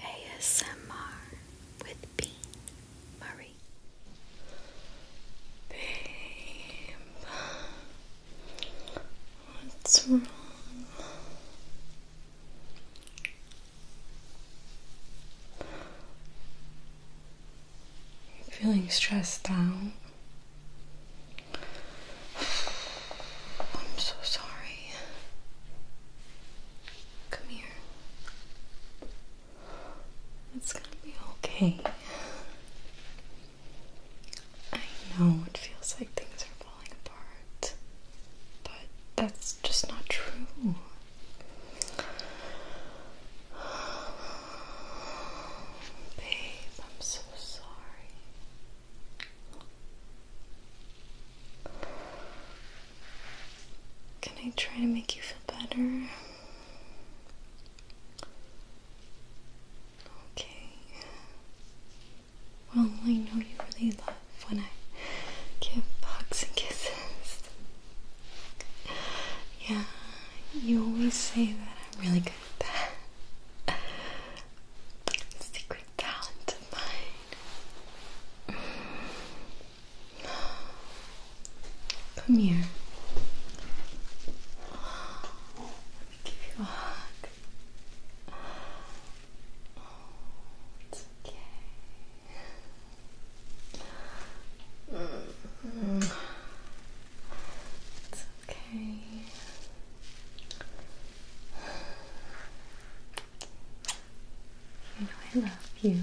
ASMR with Bean Marie. Babe, what's wrong? feeling stressed out. I'm so sorry. Come here. It's gonna be okay. I know it feels like things are falling apart, but that's just not true. Babe, I'm so sorry. Can I try to make you feel better? Okay. Well, I know you really love when I give hugs and kisses. Yeah, you always say that I'm really good at that. Secret talent of mine. Come here. give you a hug. it's okay. Mm. It's okay. You know I love you.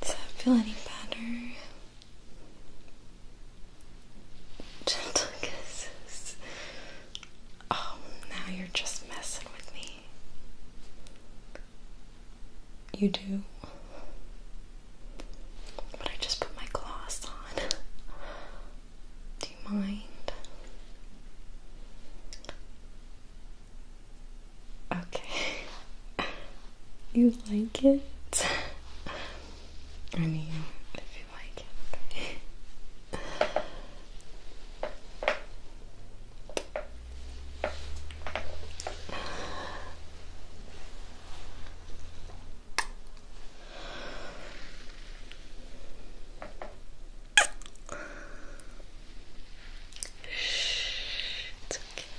Does that feel any better? Gentle kisses. Oh, now you're just messing with me. You do? But I just put my gloss on. Do you mind? Okay. You like it? I mean, if you like it. it's okay.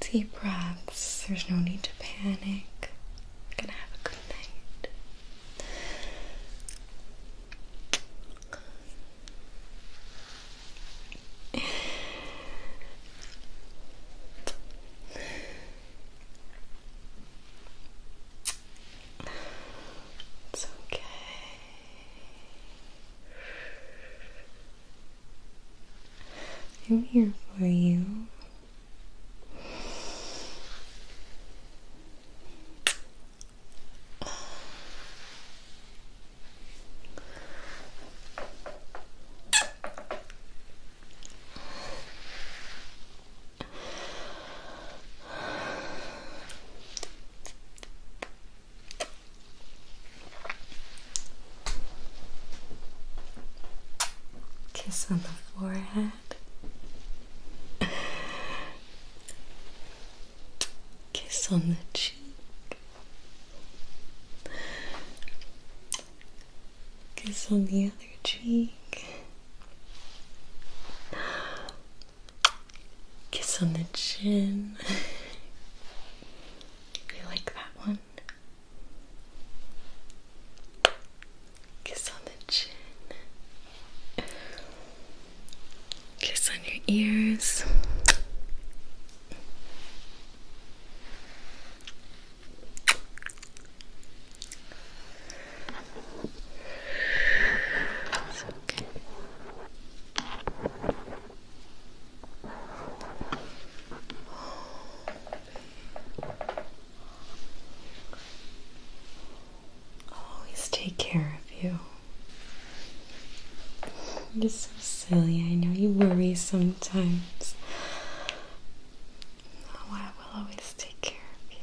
Deep breaths, there's no need to panic. gonna have a good night. It's okay. I'm here for you. Kiss on the forehead. Kiss on the cheek. Kiss on the other cheek. Kiss on the chin. you like that one? Kiss on the chin. Kiss on your ears. I'll always take care of you. You're so silly. I know you worry sometimes. Oh, I will always take care of you.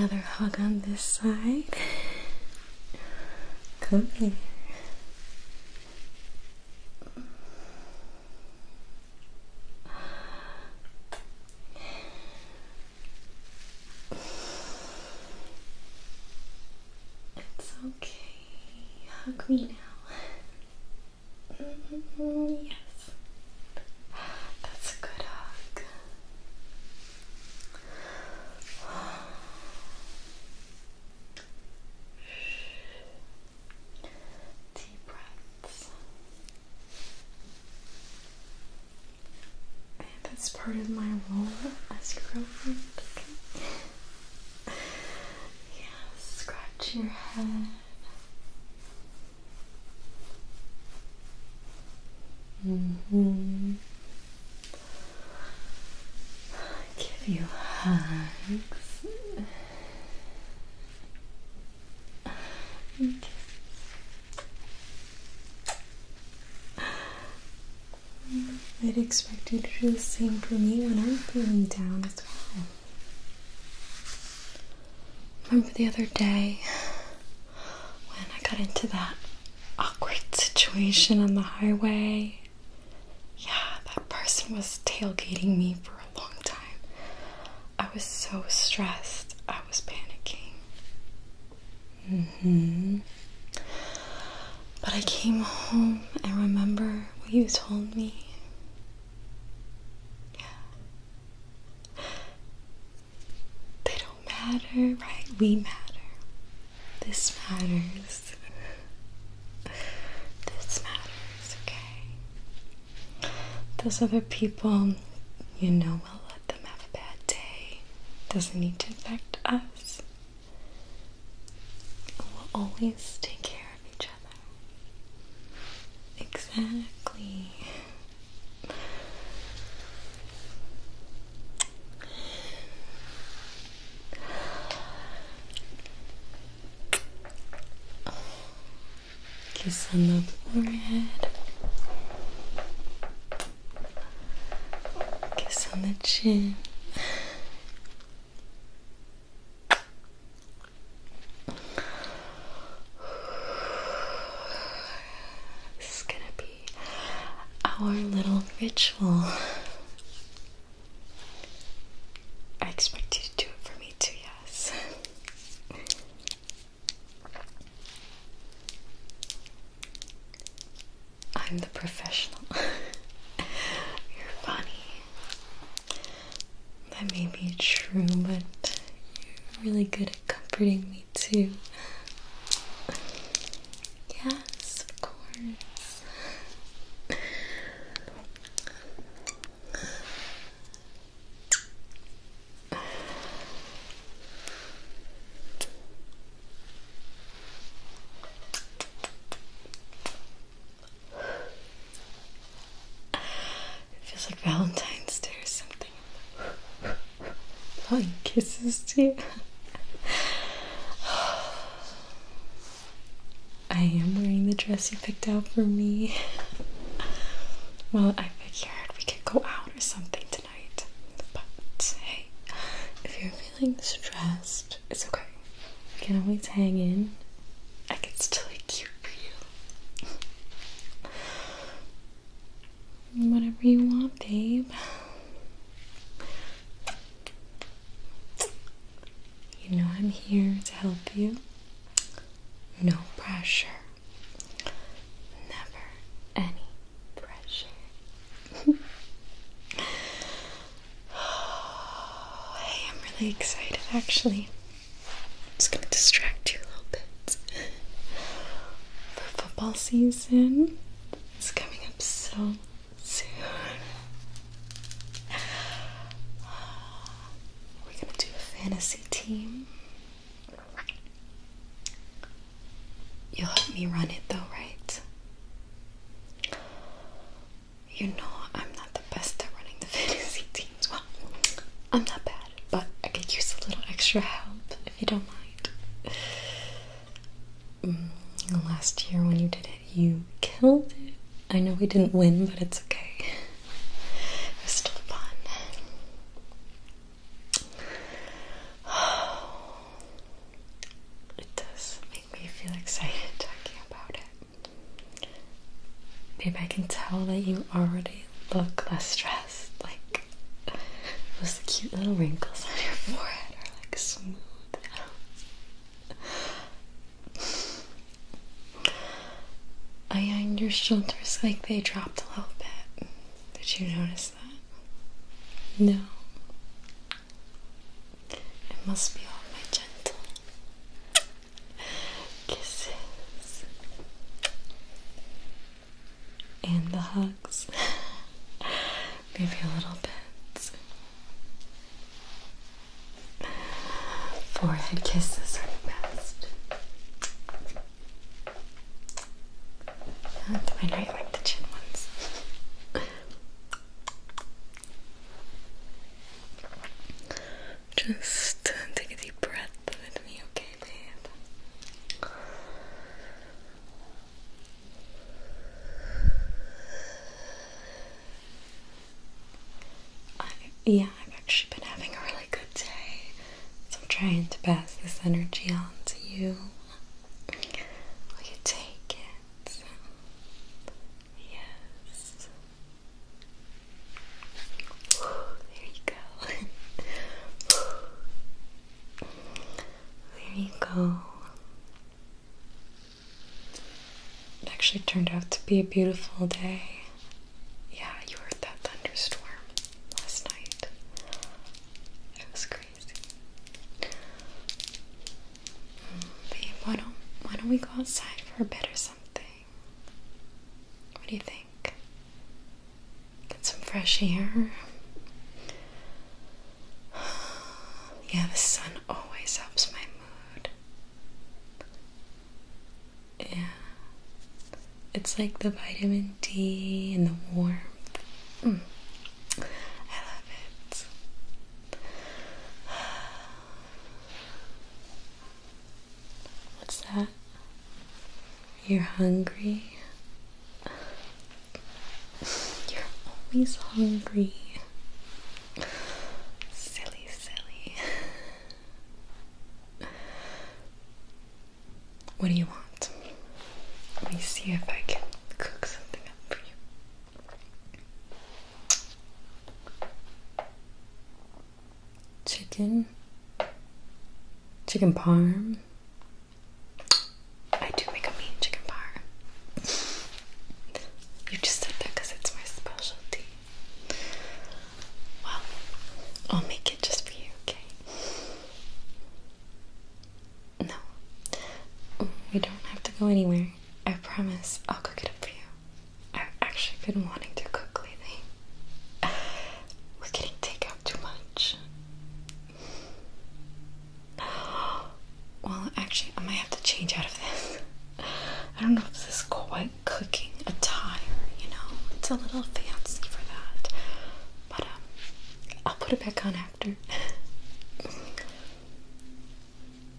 Another hug on this side. Come here. It's okay. Hug me now. Mm-hmm. yes. That's a good hug. Deep breaths. that's part of my role as girlfriend, yeah, scratch your head. Mm Give you hugs. I'd expect you to do the same for me when I'm feeling down as well. Remember the other day when I got into that awkward situation on the highway? Yeah, that person was tailgating me for a long time. I was so stressed, I was panicking. hmm. But I came home and remember what you told me. Yeah. They don't matter, right? We matter. This matters. This matters, okay? Those other people, you know, will let them have a bad day. Doesn't need to affect us. We'll always take care of each other. Exactly. Kiss on the forehead. Kiss on the chin. This is gonna be our little ritual. I expect you to do it for me too, yes. I'm the professional. You're funny. That may be true, but you're really good at comforting me too. Yes, of course. It feels like Valentine's Day or something. Blowing kisses too. I am wearing the dress you picked out for me. Well, I figured we could go out or something tonight. But hey, if you're feeling stressed, it's okay. You can always hang in. I can still be cute for you. Whatever you want, babe. You know I'm here to help you. No pressure. Never any pressure. Oh, hey, I'm really excited actually. I'm just gonna distract you a little bit. For football season is coming up so soon. We're gonna do a fantasy team. You'll help me run it though, right? you know I'm not the best at running the fantasy teams. Well, I'm not bad, but I could use a little extra help if you don't mind. Mm, last year when you did it, you killed it. I know we didn't win, but it's okay. It was still fun. It does make me feel excited talking about it. Babe, I can tell that you already look less stressed. Like those cute little wrinkles on your forehead are like smooth I on your shoulders like they dropped a little bit. Did you notice that? No. It must be all my gentle kisses and the hugs, maybe a little bit. Forehead kisses are the best. I do like the chin ones. Just take a deep breath with me, okay, babe? yeah, I've actually been having a really good day, so I'm trying to pass this energy on to you. Will you take it? Yes. there you go. there you go. It actually turned out to be a beautiful day. Yeah, you heard that thunderstorm last night. It was crazy why don't why don't we go outside for a bit or something? What do you think? Get some fresh air. Yeah, the sun always helps my mood. Yeah. It's like the vitamin D and the warmth. Mm. I love it. What's that? You're hungry? You're always hungry. Silly, silly. What do you want? Let me see if I can cook something up for you. Chicken, chicken parm. I do make a mean chicken parm. you just said that because it's my specialty. Well, I'll make it just for you, okay? No, we don't have to go anywhere. I promise I'll cook it up for you. I've actually been wanting to cook lately. We're getting takeout too much. Well, actually, I might have to change out of this. I don't know if this is quite cooking attire, you know? It's a little fancy for that. But, um, I'll put it back on after.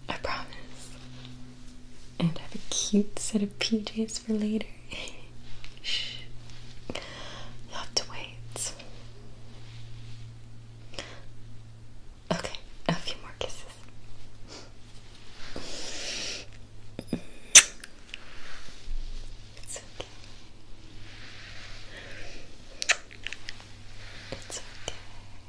I promise. And I have a cute set of PJs for later. Shh. You'll have to wait. Okay, a few more kisses. It's okay.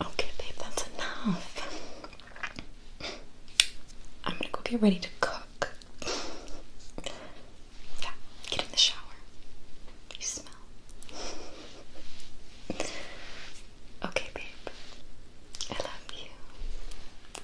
Okay, babe, that's enough. I'm gonna go get ready to cook. Yeah, get in the shower. You smell. Okay, babe. I love you.